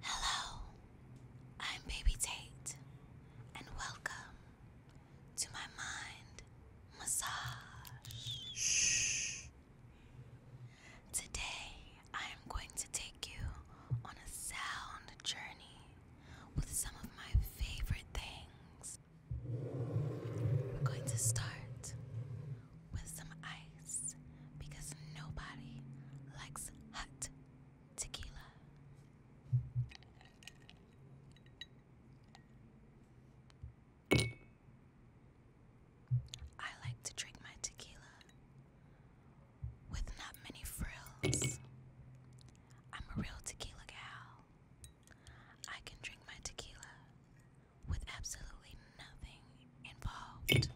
Hello, I'm Baby Tate, and welcome to my mind massage. Shh. Today, I am going to take you on a sound journey with some of my favorite things. We're going to start with some ice because nobody likes hot Tequila. I like to drink my tequila with not many frills. I'm a real tequila gal. I can drink my tequila with absolutely nothing involved.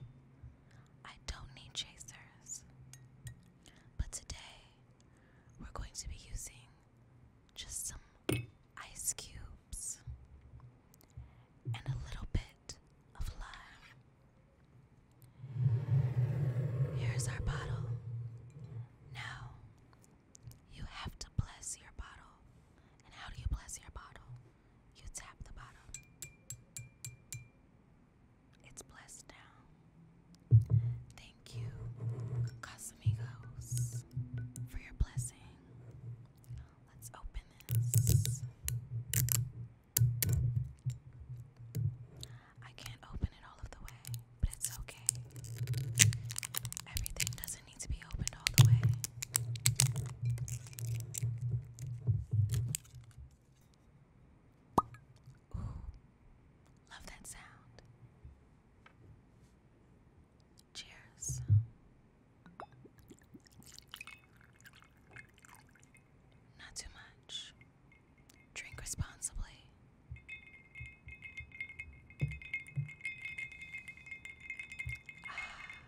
I don't need chasers. But today, we're going to be using just some ice cubes and a little bit of lime. Here's our bottle. Now, you have to bless your bottle. And how do you bless your bottle? You tap the bottle. It's blessed now. Thank you, Casamigos, for your blessing. Let's open this. I can't open it all of the way, but it's okay. Everything doesn't need to be opened all the way love that sound. Cheers. Not too much. Drink responsibly. Ah.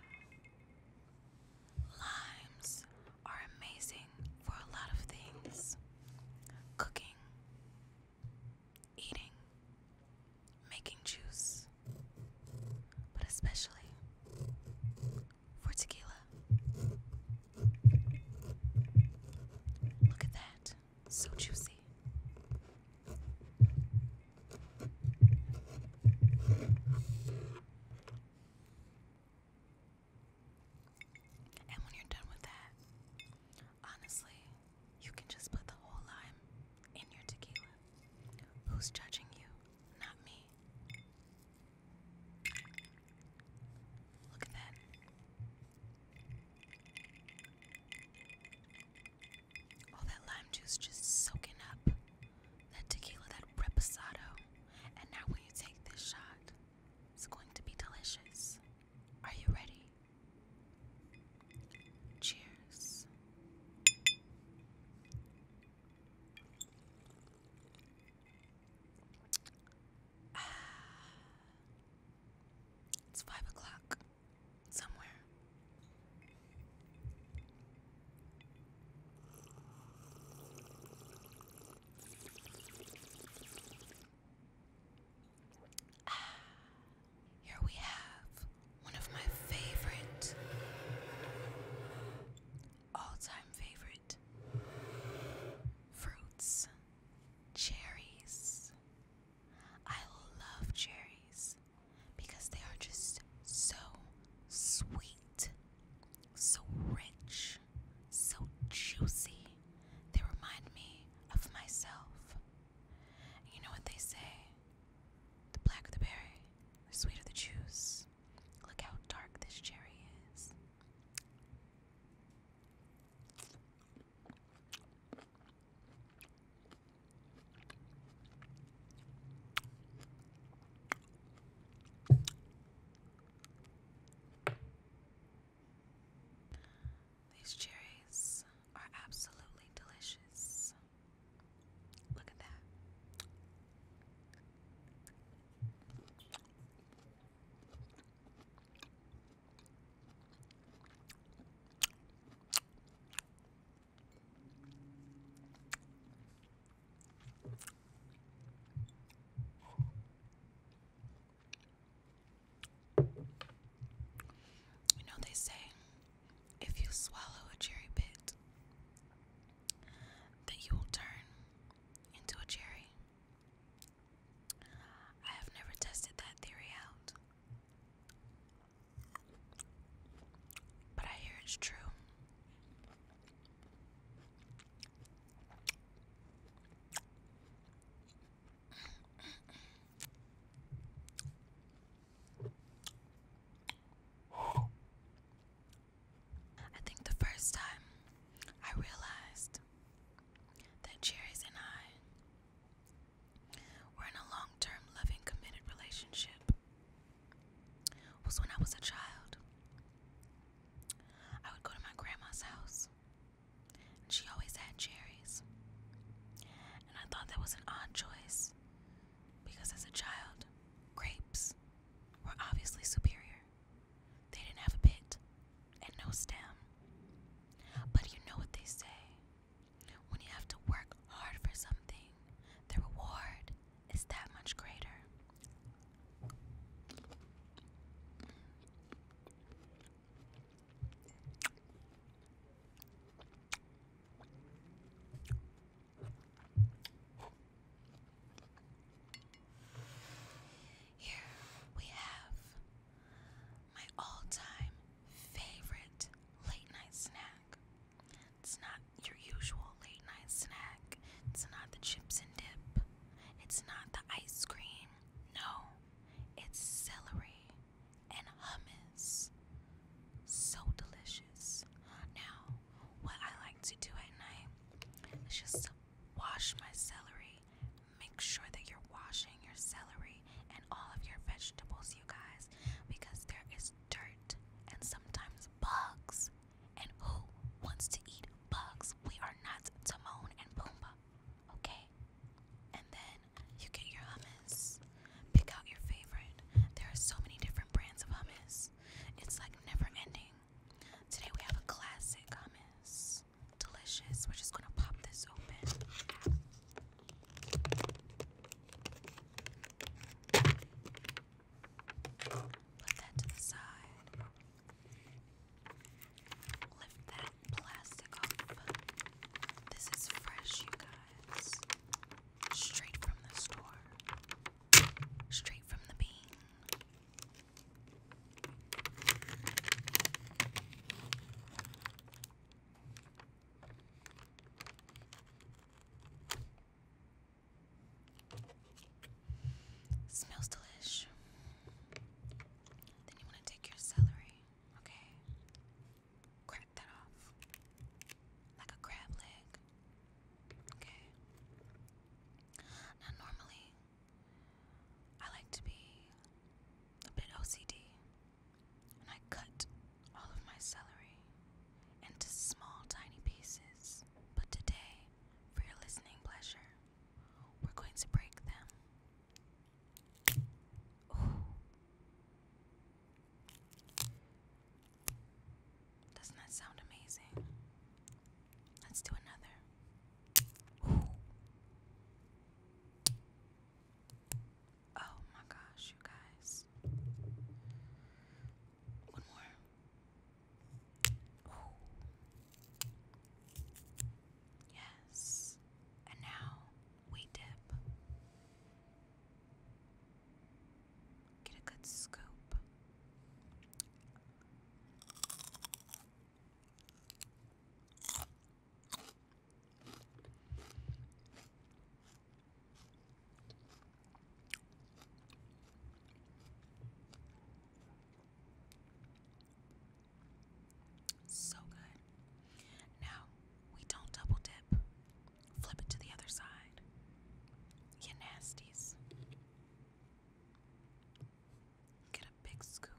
Limes are amazing for a lot of things cooking, eating, making juice, but especially for tequila. Look at that, so juicy. And when you're done with that, honestly, you can just put the whole lime in your tequila. Who's judging you? Not me. Look at that. All that lime juice just soaking up that tequila, that reposado. And now when you take this shot, it's going to be delicious. Are you ready? Cheers. Ah. It's five o'clock somewhere. Ah, here we have one of my favorite, all time favorite fruits cherries. I love cherries because they are just so sweet so rich, so juicy. They remind me of myself. you know what they say? The black of the berry, the sweeter the juice. Look how dark this cherry is. These cherries are absolutely delicious. Look at that. You know, they say if you swallow a cherry bit, that you will turn into a cherry. I have never tested that theory out, but I hear it's true. I think the first time I realized that Jerry's and I were in a long term, loving, committed relationship was when I was a child. I would go to my grandma's house, and she always had cherries. And I thought that was an odd choice because as a child, grapes were obviously superior. They didn't have a pit and no stem. But you know what they say when you have to work hard for something, the reward is that much greater. Here we have my all time favorite late night snack. It's not your usual late night snack, it's not the chips and dip. It's not the ice cream. No, it's celery and hummus. So delicious. Now, what I like to do at night is just wash my celery. Make sure that you're washing your celery and all of your vegetables, you guys, because there is dirt and sometimes bugs and who wants to eat bugs? We are not Timon and Pumbaa, okay? And then you get your hummus. Pick out your favorite. There are so many different brands of hummus. It's like never ending. Today we have a classic hummus. Delicious. We're just gonna pop this open. Put that to the side. Lift that plastic off. This is fresh, you guys. Straight from the store. Straight from the bean. Smells delicious. Then you want to take your celery, okay? Crack that off like a crab leg, okay? Now, normally, I like to be a bit OCD and I cut all of my celery into small, tiny pieces. But today, for your listening pleasure, we're going to break them. Doesn't that sound amazing? Let's do another. Oh my gosh, you guys. One more. Ooh. Yes. And now we dip. Get a good scoop. So good. Now, we don't double dip. Flip it to the other side. You nasties. Get a big scoop.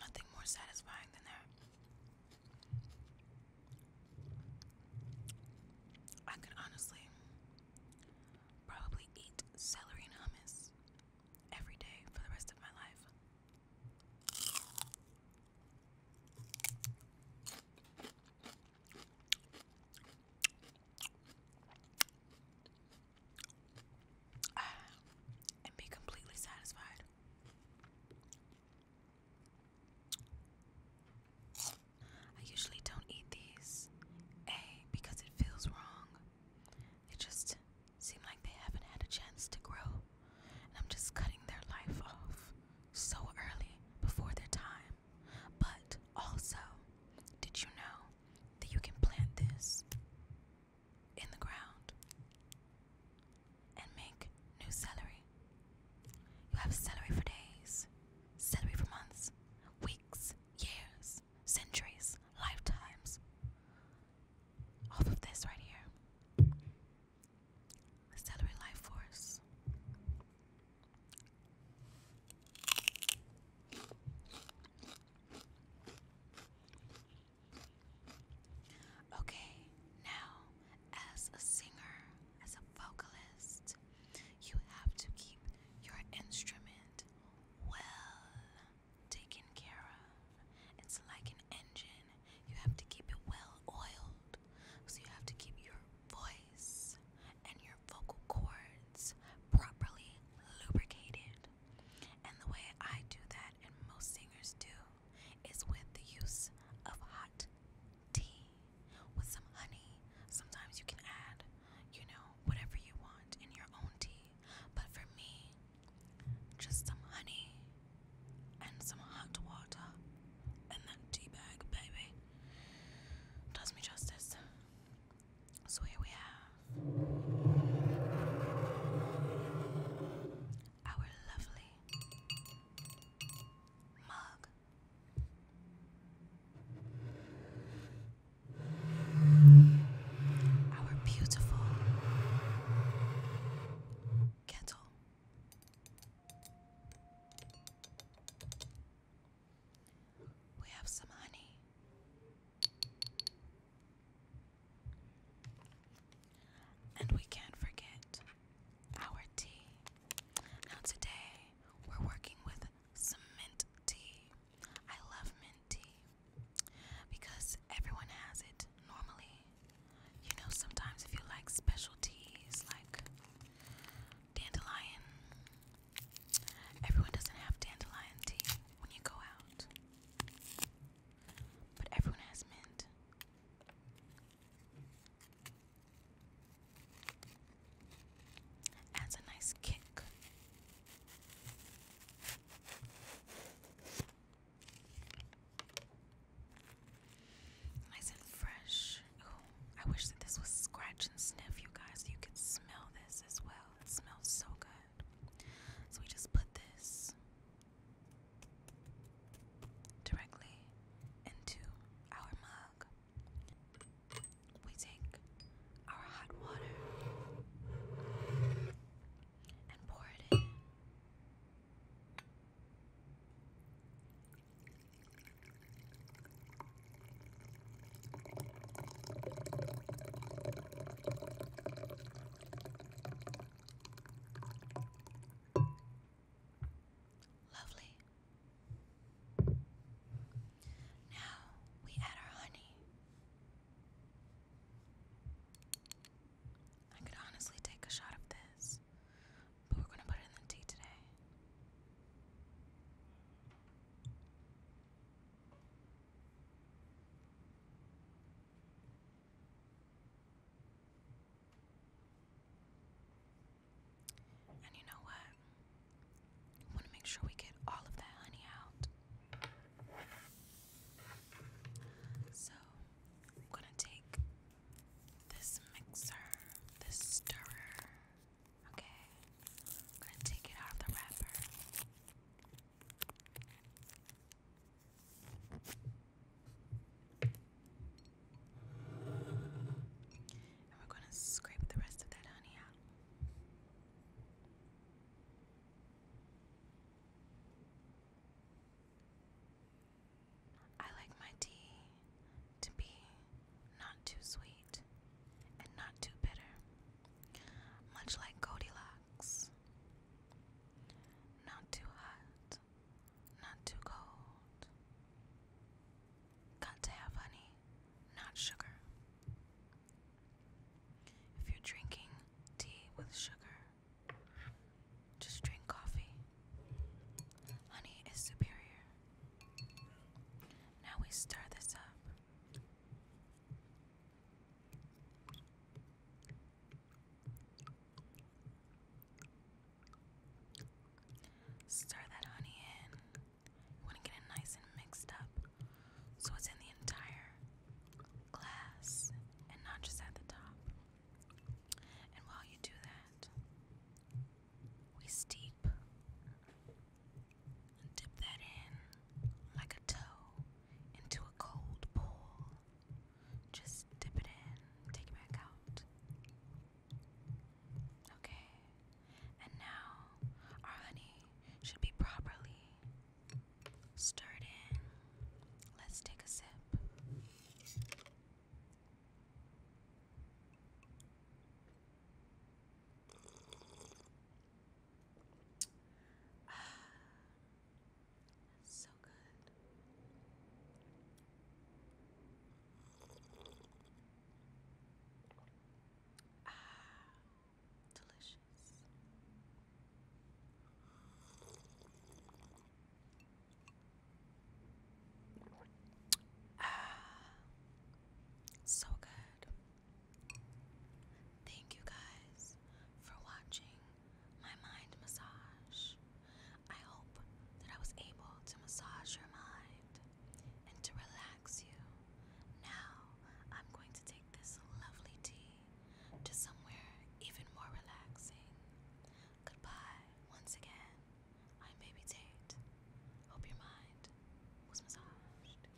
Nothing more satisfying than that. I could honestly probably eat celery hummus every day for the rest of my life. and be completely satisfied. I usually don't eat these, A, because it feels wrong. They just seem like they haven't had a chance to grow, and I'm just cutting their life off so early before their time. But also, did you know that you can plant this in the ground and make new celery. You have celery for days, celery for months, weeks, years, centuries, lifetimes. Off of this right here. The celery life force. Okay, now as a singer, as a vocalist, you have to keep your instrument well taken care of. It's like an engine, you have to keep it well oiled. So you have to keep your voice and your vocal cords properly lubricated. And the way I do that, and most singers do, is with the use of hot tea with some honey. Sometimes you can add, you know, whatever you want in your own tea. But for me, just some honey and some hot water and that tea bag, baby, does me justice. So here we have our lovely mug. Our beautiful kettle. We have some honey. And we can't forget our tea. Now, today we're working with mint tea. I love mint tea because everyone has it normally. You know, sometimes if you like special teas like dandelion, everyone doesn't have dandelion tea when you go out. But everyone has mint. Adds a nice kick. Nice and fresh. Oh, I wish that this was scratch and sniff, you guys. You could smell this as well. It smells so good. So we just put this directly into our mug. We take our hot water and pour it in. Lovely. Now we add our honey. I could honestly take a shot of this, but we're going to put it in the tea today. And you know what? I want to make sure we get all of that honey out. So, I'm going to take this mixer, this stirrer, okay? I'm going to take it out of the wrapper we're going to scrape the rest of that honey out. I like my tea to be not too sweet and not too bitter, much like Goldilocks. Not too hot, not too cold. Got to have honey, not sugar. If you're drinking tea with sugar, just drink coffee. Honey is superior. Now we stir this up. Stir that honey in. want to get it nice and mixed up so it's in the entire glass and not just at the top. And while you do that, we steep and dip that in like a toe into a cold pool just dip it in, take it back out. Okay, and now our honey should be properly stirred in. Let's take a sip. So good. Ah, delicious. Ah, so good. Thank you guys for watching my mind massage. I hope that I was able to massage your mind and to relax you. Now I'm going to take this lovely tea to somewhere even more relaxing. Goodbye once again. I'm Baby Tate. Hope your mind was massaged.